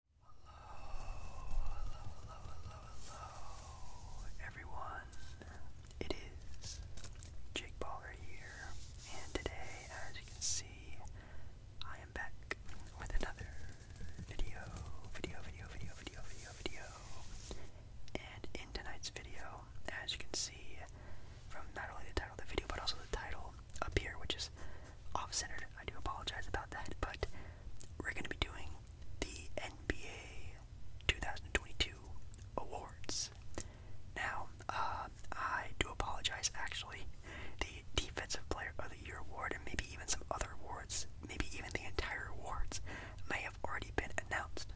Hello, hello, hello, hello, everyone. It is Jake Baller here, and today, as you can see, I am back with another video, video, video, video, video, video, video. And in tonight's video, as you can see from not only the title of the video, but also the title up here, which is off-centered. I do apologize about that, but we're going to be doing the NBA 2022 awards. Now, uh, I do apologize. Actually, the Defensive Player of the Year award, and maybe even some other awards, maybe even the entire awards, may have already been announced.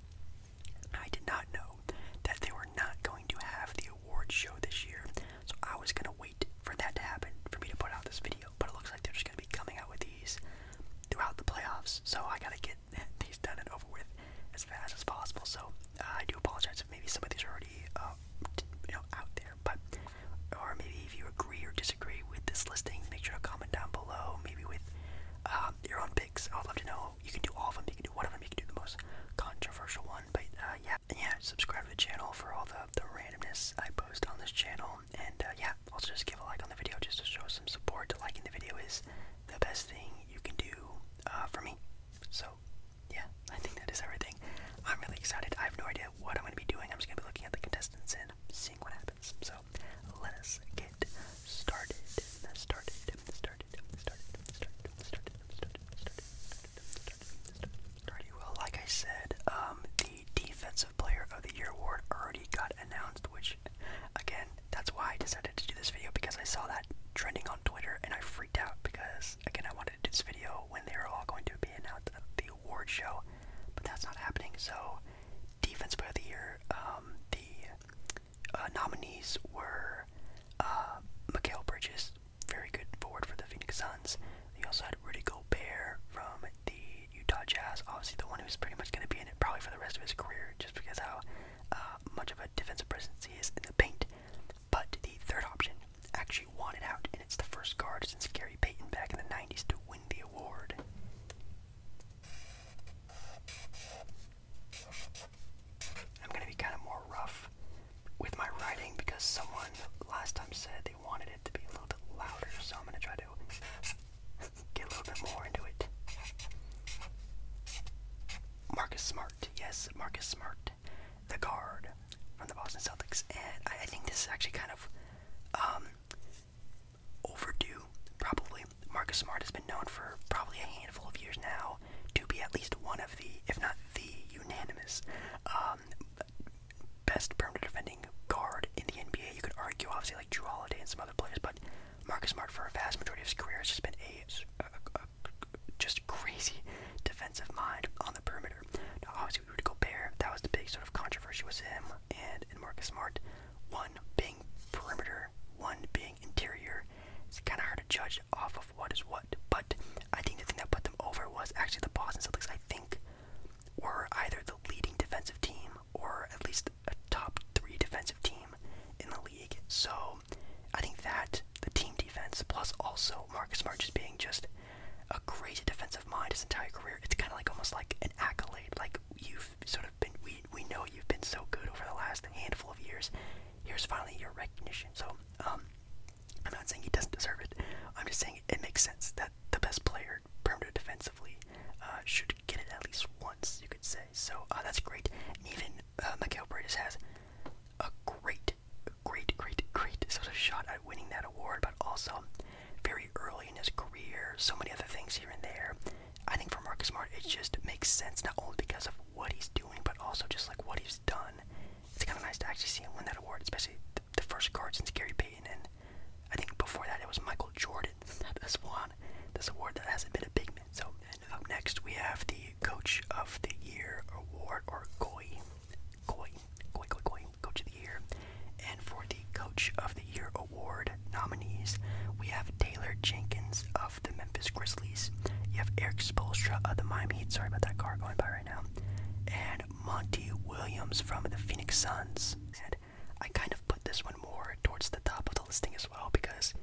I did not know that they were not going to have the awards show this year, so I was going to wait for that to happen for me to put out this video. But it looks like they're just going to be coming out with these throughout the playoffs. So I got to get these done and over with as fast as possible. So uh, I do apologize if maybe some of these are already uh, you know, out there. But or maybe if you agree or disagree with this listing, make sure to comment down below. Maybe with um, your own picks. I'd love to know. You can do all of them. You can do one of them. You can do the most controversial one. But uh, yeah yeah, subscribe to the channel for all the, the randomness I post on this channel. And uh, yeah, also just give a like on the video just to show some support. Liking the video is the best thing you can do uh, for me. So yeah, I think that is everything. I'm really excited. I have no idea what I'm going to be doing. I'm just going to be looking at the contestants and seeing what happens. So let us get Started. Started. Started. Started. Started. Started. Started. started, started, started well, like I said, um, the Defensive Player of the Year award already got announced, which, again, that's why I decided to do this video because I saw that trending on Twitter and I freaked out because, again, I wanted to do this video when they were all going to be announced at the award show, but that's not happening. So, Defensive Player of the Year, um, the uh, nominees were uh, Bridges, very good forward for the Phoenix Suns. He also had Rudy Gobert from the Utah Jazz, obviously the one who's pretty much going to be in it probably for the rest of his career, just because how uh, much of a defensive presence he is in the paint. But the third option actually won it out, and it's the first guard since Gary Payton back in the '90s to win the award. I'm gonna be kind of more rough with my writing because someone last time said wanted it to be a little bit louder, so I'm gonna try to get a little bit more into it. Marcus Smart, yes, Marcus Smart, the guard from the Boston Celtics, and I, think this is actually kind of um, overdue, probably. Marcus Smart has been known for probably a handful of years now to be at least one of the, if not the, unanimous um, best perimeter defending guard in the NBA. You could argue, obviously, like Drew Holiday and some other players, but Marcus Smart, for a vast majority of his career, has just been a, a, a, a just crazy defensive mind on the perimeter. Now, obviously, Rudy Gobert, that was the big sort of controversy was him and, and Marcus Smart. One being perimeter, one being interior. It's kind of hard to judge off of what is what, but I think the thing that put them over was actually the Boston Celtics. I think were either the leading defensive team or at least a top three defensive team in the league. So I think that the team defense, plus also Marcus Smart just being just a crazy defensive mind his entire career, it's kind of like almost like an accolade. Like you've sort of been, we we know you've been so good over the last handful of years. Here's finally your recognition. So um, I'm not saying he doesn't deserve it. I'm just saying it makes sense that the best player, perimeter defensively, uh, should get it at least once, you could say. So uh, that's great. even uh, Mikael has a great, great, great, great sort of shot at winning that award, but also very early in his career, so many other things here and there. I think for Marcus Smart, it just makes sense not only because of what he's doing, but also just like what he's done. It's kind of nice to actually see him win that award, especially the first card since Gary Payton, and I think before that it was Michael Jordan that has won this award that hasn't been a big man. So, and up next we have the Coach of the Year award, or Goy, Goy, Goy, Goy, Goy, Coach of the Year. And for the Coach of the Year award nominees, we have Taylor Jenkins of the Memphis Grizzlies. You have Eric Spolstra of the Miami Heat. Sorry about that car going by right now. And Monty Williams from the Phoenix Suns. And I kind of put this one more towards the top of the listing as well because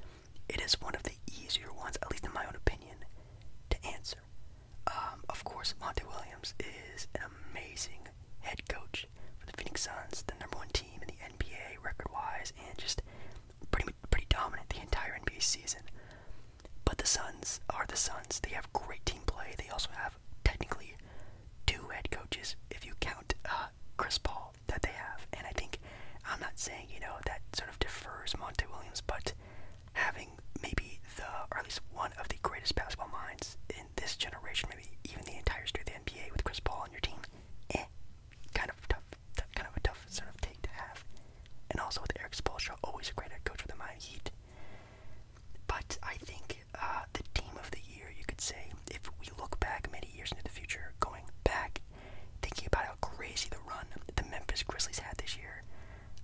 it is one of the easier ones, at least in my own opinion, to answer. Um, of course, Monty Williams is an amazing head coach for the Phoenix Suns, the number one team in the NBA record-wise, and just pretty pretty dominant the entire NBA season. But the Suns are the Suns. They have great team play. They also have have technically two head coaches if you count uh, Chris Paul that they have. And I think I'm not saying you know that sort of defers Monte Williams, but having maybe the or at least one of the greatest basketball minds in this generation, maybe even the entire history of the NBA, with Chris Paul on your team, eh? Kind of tough, kind of a tough sort of take to have. And also with Eric Spoelstra, always a great head coach for the Miami Heat. But I think uh, the team of the year, you could say, if we look back many years into the future, going back, thinking about how crazy the run the Memphis Grizzlies had this year,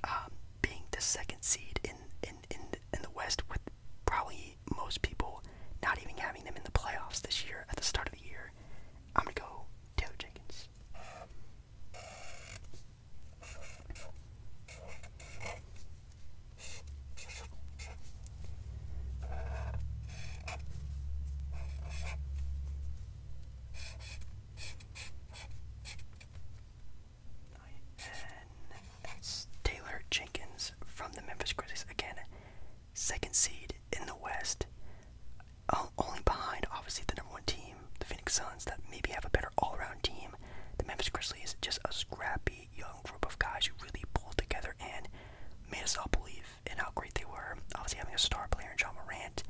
um, being the second seed in in in in the West with probably most people not even having them in the playoffs this year at the start of the year, I'm gonna go Taylor Jenkins. Taylor Jenkins from the Memphis Grizzlies again, second seed in the West, only behind obviously the number one team, the Phoenix Suns, that maybe have a better all-around team, the Memphis Grizzlies, just a scrappy young group of guys who really pulled together and made us all believe in how great they were. Obviously, having a star player in John Morant,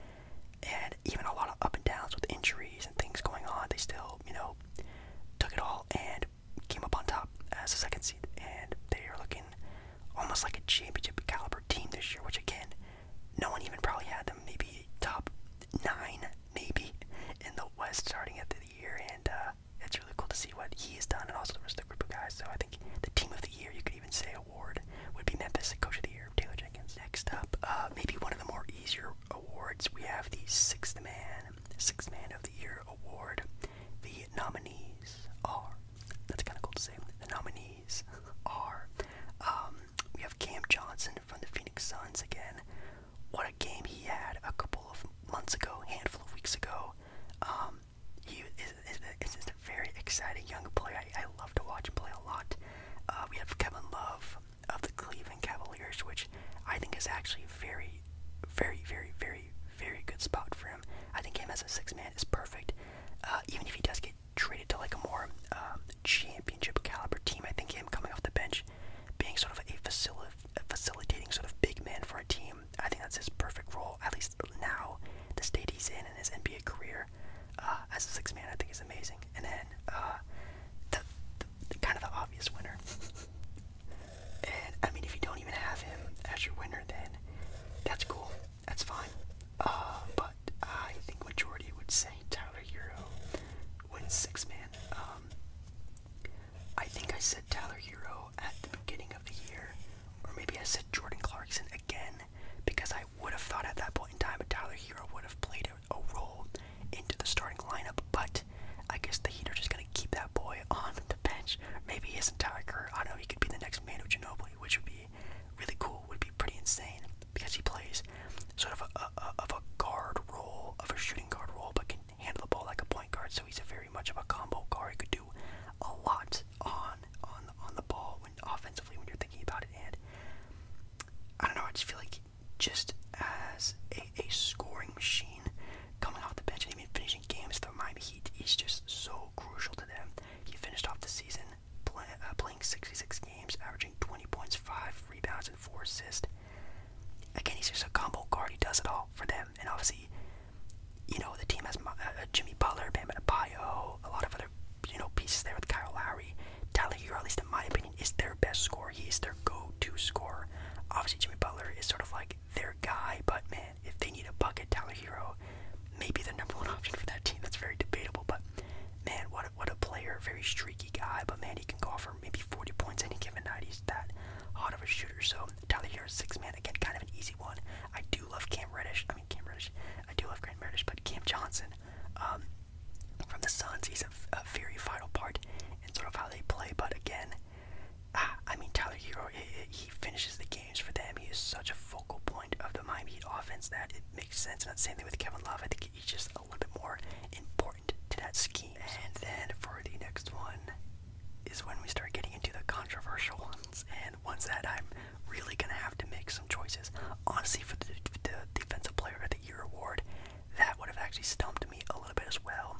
and even a lot of up and downs with injuries and things going on, they still, you know, took it all and came up on top as a second seed. And they are looking almost like a championship caliber team this year, which again, no one even probably had them. Maybe top nine, maybe in the West starting at the and uh, it's really cool to see what he's done, and also the rest of the group of guys. So I think the team of the year, you could even say award, would be Memphis Coach of the Year, Taylor Jenkins. Next up, uh, maybe one of the more easier awards, we have the Sixth Man, Sixth Man of the Year award. The nominees are. That's kind of cool to say. The nominees are. Um, we have Cam Johnson from the Phoenix Suns again. What a game he had a couple of months ago, handful of weeks ago. Um, he is, a very exciting young player. I, love to watch him play a lot. Uh, we have Kevin Love of the Cleveland Cavaliers, which I think is actually very, very, very, very, very good spot for him. I think him as a six man is perfect. Uh, even if he does get traded to like a more um, championship caliber team, I think him coming off the bench, being sort of a facilitator facilitating sort of big man for a team. I think that's his perfect role, at least now, the state he's in in his NBA career. Uh, as a six man, I think is amazing. And then uh, the, kind of the obvious winner. and I mean, if you don't even have him as your winner, then that's cool. That's fine. Uh, but I think majority would say Tyler Hero wins six man. Um, I think I said Tyler Hero at the beginning of the year, or maybe I said Jordan Clarkson again, because I would have thought at that point in time Tyler Hero would have played a, role into the starting lineup, but I guess the Heat are just going to keep that boy on the bench. Maybe his entire career, I don't know, he could be the next Manu Ginobili, which would be really cool, would be pretty insane, because he plays sort of a, of a guard role, of a shooting guard role, but can handle the ball like a point guard, so he's a very much of a combo guard. He could do a lot on on on the ball when offensively when you're thinking about it. And I don't know, I just feel like just as a, a scoring machine coming off the bench and even finishing games for Miami Heat, he's just so crucial to them. He finished off the season uh, playing 66 games, averaging 20 points, five rebounds, and four assists. Again, he's just a combo guard. He does it all for them. And obviously, you know, the team has uh, Jimmy Butler, Bam Adebayo, a lot of other, you know, pieces there with Kyle Lowry. Tyler Hero, at least in my opinion, is their best scorer. He's their go-to scorer. Obviously, Jimmy Butler is sort of like their guy, but man, if they need a bucket, Tyler Hero may be the number one option for that team. That's very debatable, but man, what a, what a player. Very streaky guy, but man, he can go for maybe 40 points any given night. He's that hot of a shooter. So Tyler Hero, six man again, kind of an easy one. I do love Cam Reddish. I mean Cam Reddish. I do love Cam Reddish, but Cam Johnson um, from the Suns. He's a, very vital part in sort of how they play. But again, ah, I mean Tyler Hero. He, finishes the games for them. He is such a focal point of the Miami offense that it makes sense. And the same thing with Kevin Love. I think he's just a little bit more important to that scheme. And then for the next one is when we start getting into the controversial ones and once that I'm really gonna have to make some choices. Honestly, for the, Defensive Player of the Year award, that would have actually stumped me a little bit as well.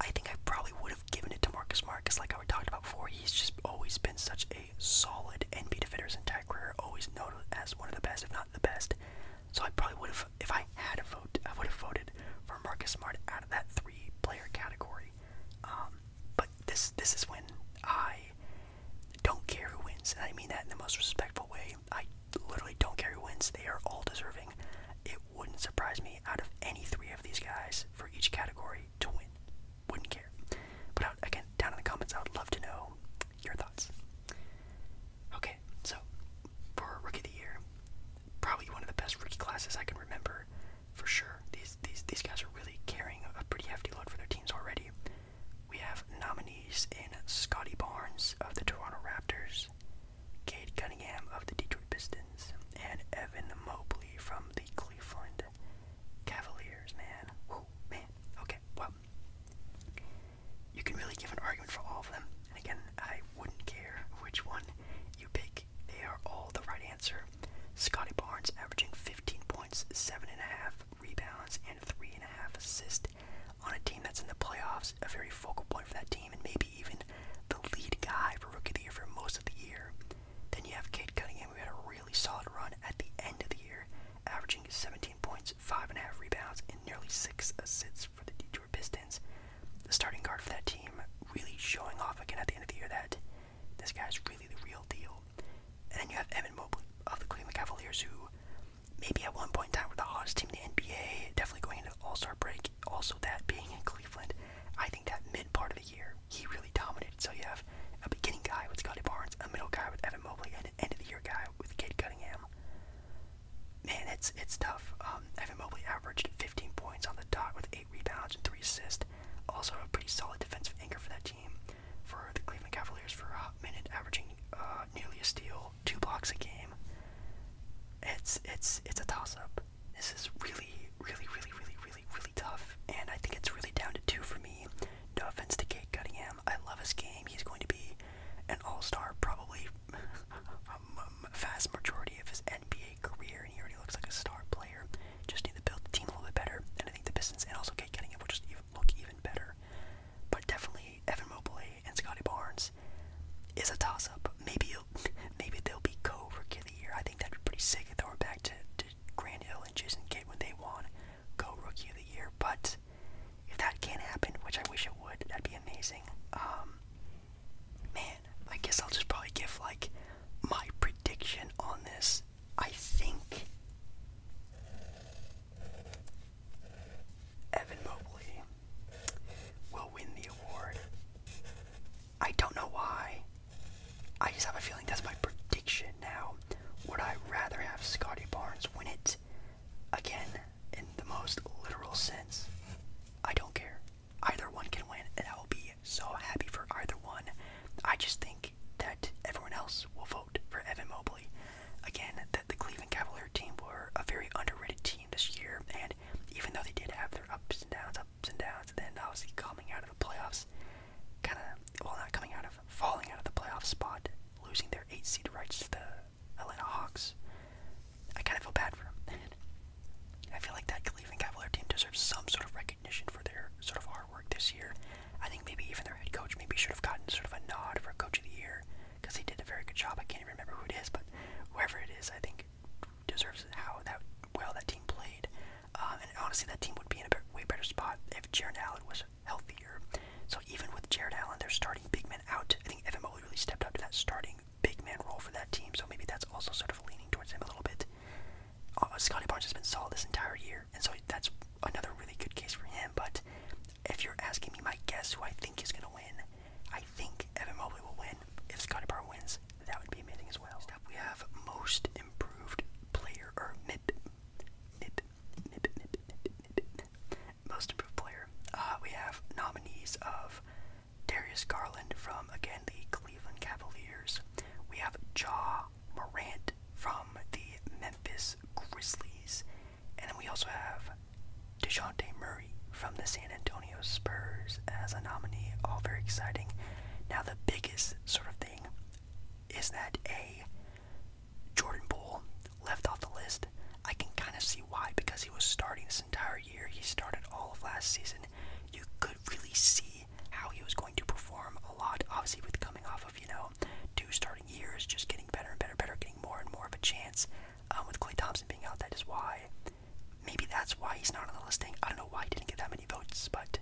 I think I probably would have given it to Marcus Smart because, like I talked about before, he's just always been such a solid NBA defender his entire career. Always known as one of the best, if not the best. So I probably would have if I had a vote, I would have voted for Marcus Smart out of that three-player category. Um, but this this is when I don't care who wins, and I mean that in the most respectful way. I literally don't care who wins; they are all deserving. It wouldn't surprise me out of any three of these guys for each category to win. Wouldn't care. But uh, again, down in the comments, I would love to know your thoughts. Okay, so for rookie of the year, probably one of the best rookie classes I can remember for sure. These these these guys are really carrying a pretty hefty load for their teams already. We have nominees in Scotty Barnes of the Toronto Raptors, Kade Cunningham of the Detroit Pistons, and Evan Mobley from the Cleveland Cavaliers. Man, Ooh, man. Okay, well, you can really give an argument for all of them. And again, I wouldn't care which one you pick. They are all the right answer. Scotty Barnes averaging 15 points, 7.5 rebounds, and 3.5 assists on a team that's in the playoffs, a very focal point for that team, and maybe even the lead guy for Rookie of the Year for most of the year. Then you have Kate Cunningham, who had a really solid run at the end of the year, averaging 17 points, 5.5 rebounds, and nearly 6 assists for the Detroit. Pistons. The starting guard for that team really showing off again at the end of the year that this guy's really the real deal. And then you have Evan Mobley of the Cleveland Cavaliers, who maybe at one point in time were the hottest team in the NBA, definitely going into All Star break. Also, that being in Cleveland, I think that mid part of the year, he really dominated. So you have a beginning guy with Scotty Barnes, a middle guy with Evan Mobley, and an end of the year guy with Kate Cunningham man, it's it's tough. Um, Evan Mobley averaged 15 points on the dot with eight rebounds and three assists. Also, a pretty solid defensive anchor for that team. For the Cleveland Cavaliers, for a minute, averaging uh, nearly a steal, two blocks a game. It's it's it's a toss-up. This is really, really, really, really, really, really tough, and I think it's really down to two for me. No offense to Kate Cunningham, I love his game. He's going to be an all-star, probably a vast majority of his NBA career, and he already looks like a star player. Just need to build the team a little bit better, and I think the Pistons and also Kate Cunningham will just even look even better. But definitely Evan Mobley and Scotty Barnes is a toss-up. Maybe maybe they'll be co-rookie of the year. I think that'd be pretty sick if they were back to, to Grand Hill and Jason Kidd when they won co-rookie of the year. But if that can't happen, which I wish it would, that'd be amazing. Um, man, I guess I'll just probably give like my prediction on this. I think Evan Mobley will win the award. I don't know why. I just have a feeling that's my prediction now. Would I rather have Scotty Barnes win it Again, in the most literal sense, I don't care. Either one can win, and I will be so happy for either one. I just think that everyone else will vote for Evan Mobley. Again, that the Cleveland Cavalier team were a very underrated team this year, and even though they did have their ups and downs, ups and downs, and then obviously coming out of the playoffs, kind of, well, not coming out of, falling out of the playoff spot, losing their eight seed rights to the Atlanta Hawks. I kind of feel bad for him. I feel like that Cleveland Cavalier team deserves some sort of recognition for their sort of hard work this year. I think maybe even their head coach maybe should have gotten sort of a nod for Coach of the Year because he did a very good job. I can't even remember who it is, but whoever it is, I think deserves how that well that team played. Uh, and honestly, that team would be in a way better spot if Jared Allen was healthier. So even with Jared Allen, they're starting big man out, I think Evan Mobley really stepped up to that starting big man role for that team, so maybe that's also sort of leaning towards him a little bit. Uh, Scotty Barnes has been solid this entire year, and so that's another really good case for him. But if you're asking me my guess who I think is going to win, I think Evan Mobley will win. If Scotty Barnes wins, that would be amazing as well. Next up, we have most improved player, or MIP. MIP. MIP. MIP. MIP. MIP. Most improved player. we have nominees of Darius Garland from, again, the Cleveland Cavaliers. We have Ja Morant from the Memphis Grizzlies. And then we also have DeJounte Murray from the San Antonio Spurs as a nominee. All very exciting. Now, the biggest sort of thing is that A, Jordan Poole left off the list. I can kind of see why because he was starting this entire year. He started all of last season. You could really see how he was going to perform a lot, obviously with coming off of you know two starting years, just getting better and better, better, getting more and more of a chance. Um, with Clay Thompson being out, that is why. Maybe that's why he's not on the listing. I don't know why he didn't get that many votes, but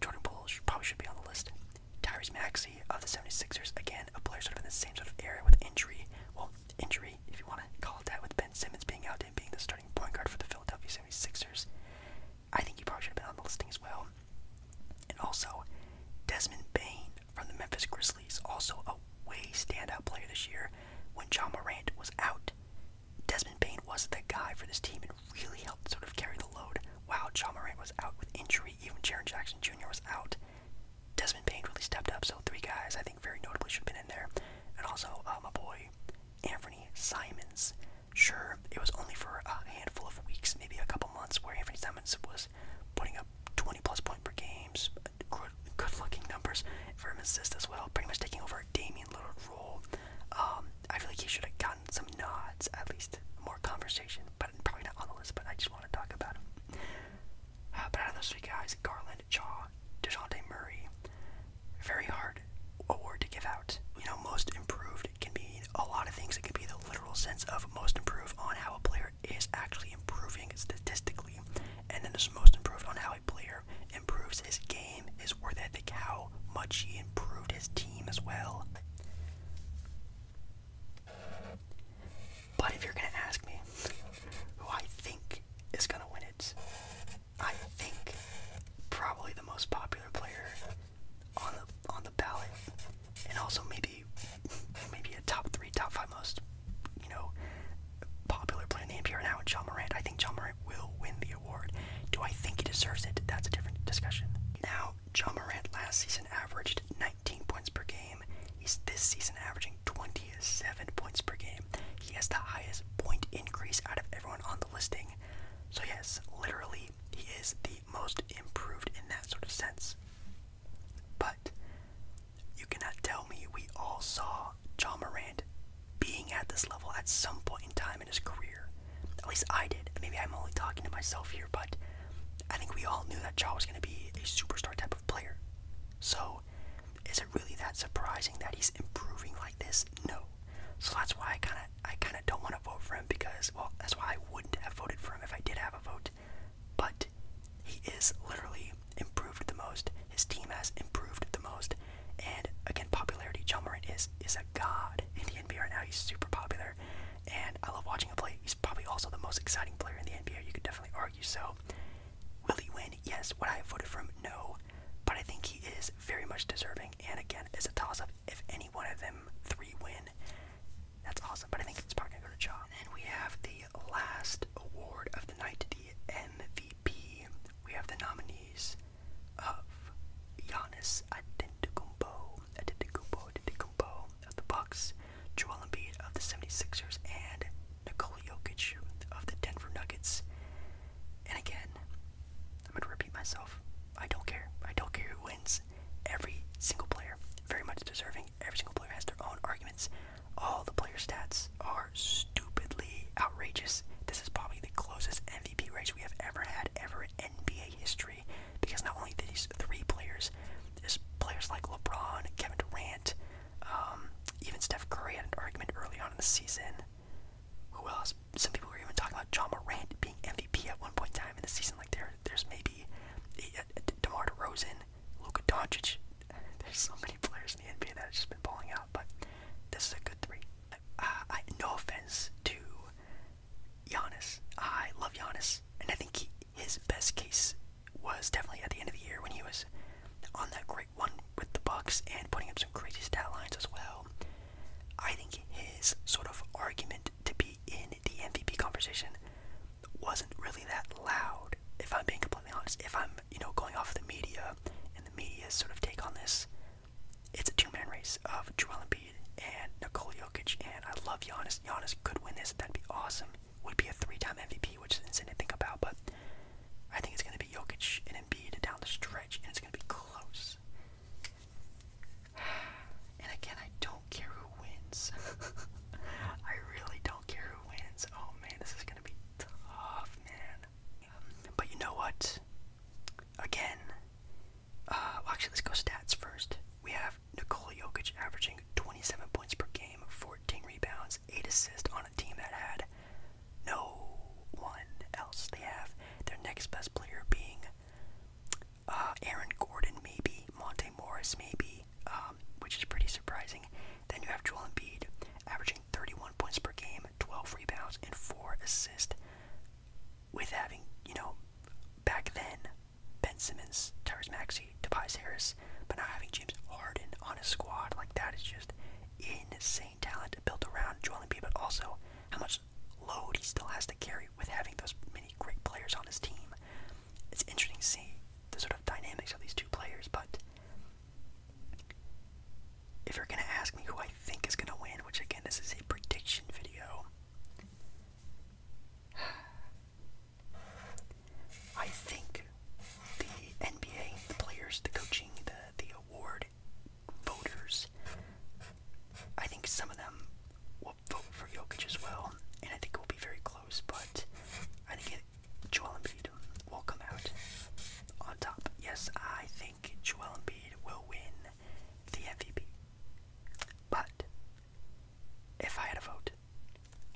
Jordan Poole probably should be on the list. Tyrese Maxey of the 76ers, again, a player sort of in the same sort of area with injury. Well, injury three, if you want to call it that, with Ben Simmons being out and being the starting point guard for the Philadelphia 76ers. I think he probably should have been on the listing as well. And also, Desmond Bain from the Memphis Grizzlies, also a way standout player this year. When John Morant was out, Desmond Bain was the guy for this team and really helped sort of carry the load. While John Morant was out with injury, even Jaron Jackson Jr. was out. Desmond Bain really stepped up. So three guys I think very notably should have been in there. And also, uh, my boy, Anthony Simons. Sure, it was only for a handful of weeks, maybe a couple months, where Anthony Simons was putting up 20 plus point per games, good, good looking numbers for him assist as well, pretty much taking over Damian Lillard role. Um, I feel like he should have gotten some nods, at least more conversation, but probably not on the list, but I just want to talk about him. Uh, but out of those three guys, Garland, signed Jaw DeJounte Murray. Very hard award to give out. You know, most improved can be a lot of things. It can be the literal sense of most improved on how a player is actually improving statistically. And then there's most improved on how a player improves his game, Is worth ethic, how much he improved his team as well. But if you're gonna ask me who I think is gonna win it, I think probably the most popular player on the on the ballot, and also maybe maybe a top three, top five most you know popular player named here now, John Morant. I think John Morant will win the award. Do I think he deserves it? That's a different discussion. Now, John Morant last season averaged 19 points per game. He's this season averaging 27 points per game. He has the highest point increase out of everyone on the listing. So, yes, literally, he is the most improved in that sort of sense. But you cannot tell me we all saw John Morant being at this level at some point in time in his career. At least I did. Maybe I'm only talking to myself here, but I think we all knew that Jaw was going to be a superstar type of player. So is it really that surprising that he's improving like this? No. So that's why I kind of I kind of don't want to vote for him because well that's why I wouldn't have voted for him if I did have a vote. But he is literally improved the most. His team has improved the most. And again, popularity. John Morant is is a god in the NBA right now. He's super popular, and I love watching him play. He's probably also the most exciting player in the NBA. You could definitely argue so. Will he win? Yes. Would I have voted for him? No. But I think he is very much deserving. And again, it's a toss up. If any one of them three win, that's awesome. But I think it's probably going to go to Jaw. And we have the last award of the night, the MVP. We have the nominees of Giannis Adentacumbo, Adentacumbo, Adentacumbo of the Bucks, Joel Embiid of the 76ers, and Nikola Jokic of the Denver Nuggets. And again, I'm going to repeat myself. I don't care. I don't care who wins. Every single player, very much deserving. Every single player has their own arguments. All the player stats are stupidly outrageous. This is probably the closest MVP race we have ever had ever NBA history because not only these three players, there's players like LeBron, Kevin Durant, um, even Steph Curry had an argument early on in the season. Who else? Some people were even talking about John Morant being MVP at one point in time in the season. Like there, there's maybe eh, eh, DeMar DeRozan, Luka Doncic. There's so many players in the NBA that have just been falling out, but this is a good three. I, no offense to Giannis, I love Giannis, and I think he, his best case was definitely at the end of the year when he was on that great one with the Bucks and putting up some crazy stat lines as well. I think his sort of argument to be in the MVP conversation wasn't really that loud, if I'm being completely honest. If I'm, you know, going off the media and the media's sort of take on this, it's a two-man race of Joel Embiid and Nikola Jokic, and I love Giannis. Giannis could win this, that'd be awesome would be a three-time MVP, which is insane to think about. But I think it's going to be Jokic and Embiid down the stretch, and it's going to be close. And again, I don't care who wins. I really don't care who wins. Oh man, this is going to be tough, man. but you know what? Again, uh, well, actually, let's go stats first. We have Nikola Jokic averaging 27 points per game, 14 rebounds, 8 assists on a team that had no one else. They have their next best player being uh, Aaron Gordon, maybe Monte Morris, maybe, um, which is pretty surprising. Then you have Joel Embiid, averaging 31 points per game, 12 rebounds, and four assists. With having, you know, back then, Ben Simmons, Tyrese Maxey, Tobias Harris, but not having James Harden on his squad, like that is just insane talent built around Joel Embiid, but also how much load he still has to carry with having those many great players on his team. It's interesting to see the sort of dynamics of these two players, but if you're going to ask me who I think is going to win, which again, this is a prediction video, I think the NBA, the players, the coaching, the the award voters, I think some of them will vote for Jokic as well, and I think it will be very close. But I think it, Joel Embiid will come out on top. Yes, I think Joel Embiid will win the MVP. But if I had a vote,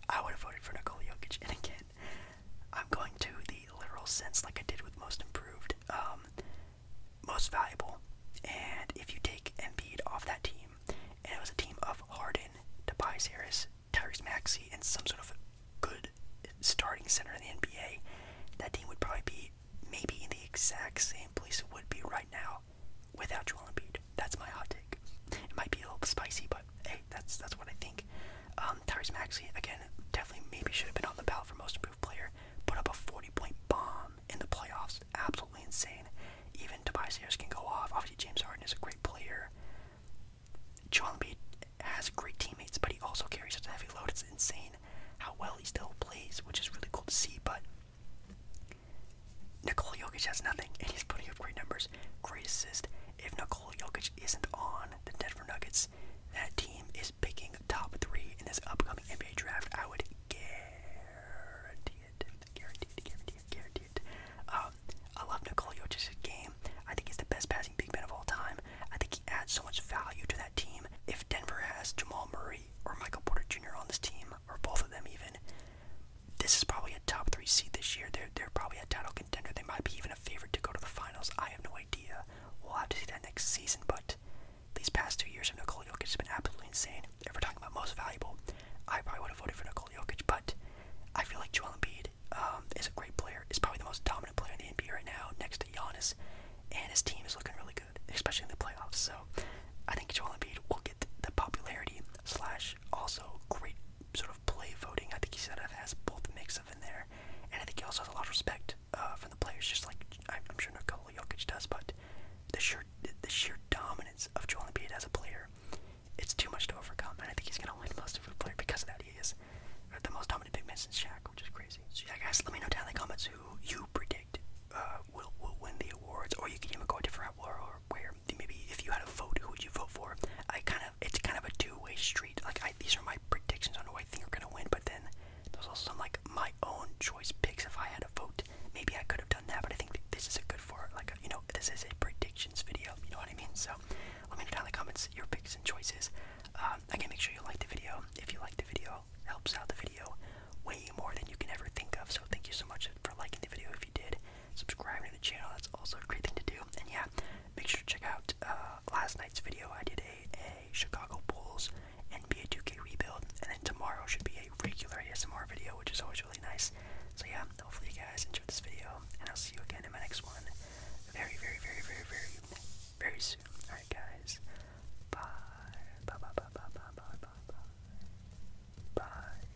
I would have voted for Nikola Jokic. And again, I'm going to the literal sense like I did with most improved, um, most valuable. And if you take Embiid off that team, and it was a team of Harden, Tobias Harris, Tyrese Maxey, and some sort of good starting center in the NBA, that team would probably be maybe in the exact same place it would be right now without Joel Embiid. That's my hot take. It might be a little spicy, but hey, that's that's what I think. Um, Tyrese Maxey again, definitely maybe should have been on the ballot for most improved player. Put up a 40-point bomb in the playoffs, absolutely insane. Even Tobias Harris can go off. Obviously, James Harden is a great player. John Embiid has great teammates, but he also carries such a heavy load. It's insane how well he still plays, which is really cool to see. But Nikola Jokic has nothing, and he's putting up great numbers, great assist, if Nikola Jokic isn't on the Denver Nuggets, that team is picking top three in this upcoming NBA draft. I would guarantee it. Guarantee it, guarantee it, guarantee it. Um, I love Nikola Jokic's game. I think he's the best passing big man of all time. I think he adds so much value to that team. If Denver has Jamal Murray or Michael Porter Jr. on this team, or both of them even, this is probably a top three seed this year. They're, they're probably a title they might be even a favorite to go to the finals. I have no idea. We'll have to see that next season, but these past two years of Nikola Jokic has been absolutely insane. If we're talking about most valuable, I probably would have voted for Nikola Jokic, but I feel like Joel Embiid um, is a great player. Is probably the most dominant player in the NBA right now, next to Giannis, and his team is looking really good, especially in the playoffs. So I think Joel Embiid will get the popularity slash also great sort of play voting. I think he sort has both mix of in there, and I think he also has a lot of respect uh, from the players, just like I'm sure Nikola Jokic does. But the sheer the sheer dominance of Joel Embiid as a player, it's too much to overcome. And I think he's gonna win most of the player because of that. He is the most dominant big man since Shaq, which is crazy. So yeah, guys, let me know down in the comments who you predict uh, will will win the awards, or you can even go a different route, or where maybe if you had a vote, who would you vote for? I kind of it's kind of a two way street like I, these are my predictions on who I think are gonna win, but then there's also some like my own choice picks. If I had a vote, maybe I could have done that. But I think this is a good for like you know this is a predictions video. You know what I mean? So let me know down in the comments your picks and choices. Um, again, make sure you like the video. If you like the video, helps out the video way more than you can ever think of. So thank you so much for liking the video. If you did, subscribe to the channel. That's also a great thing to do. And yeah, Make sure to check out uh, last night's video. I did a, a Chicago Bulls NBA 2K rebuild, and then tomorrow should be a regular ASMR video, which is always really nice. So yeah, hopefully you guys enjoyed this video, and I'll see you again in my next one very, very, very, very, very, very soon. Alright guys, Bye, bye, bye, bye, bye, bye, bye, bye. Bye.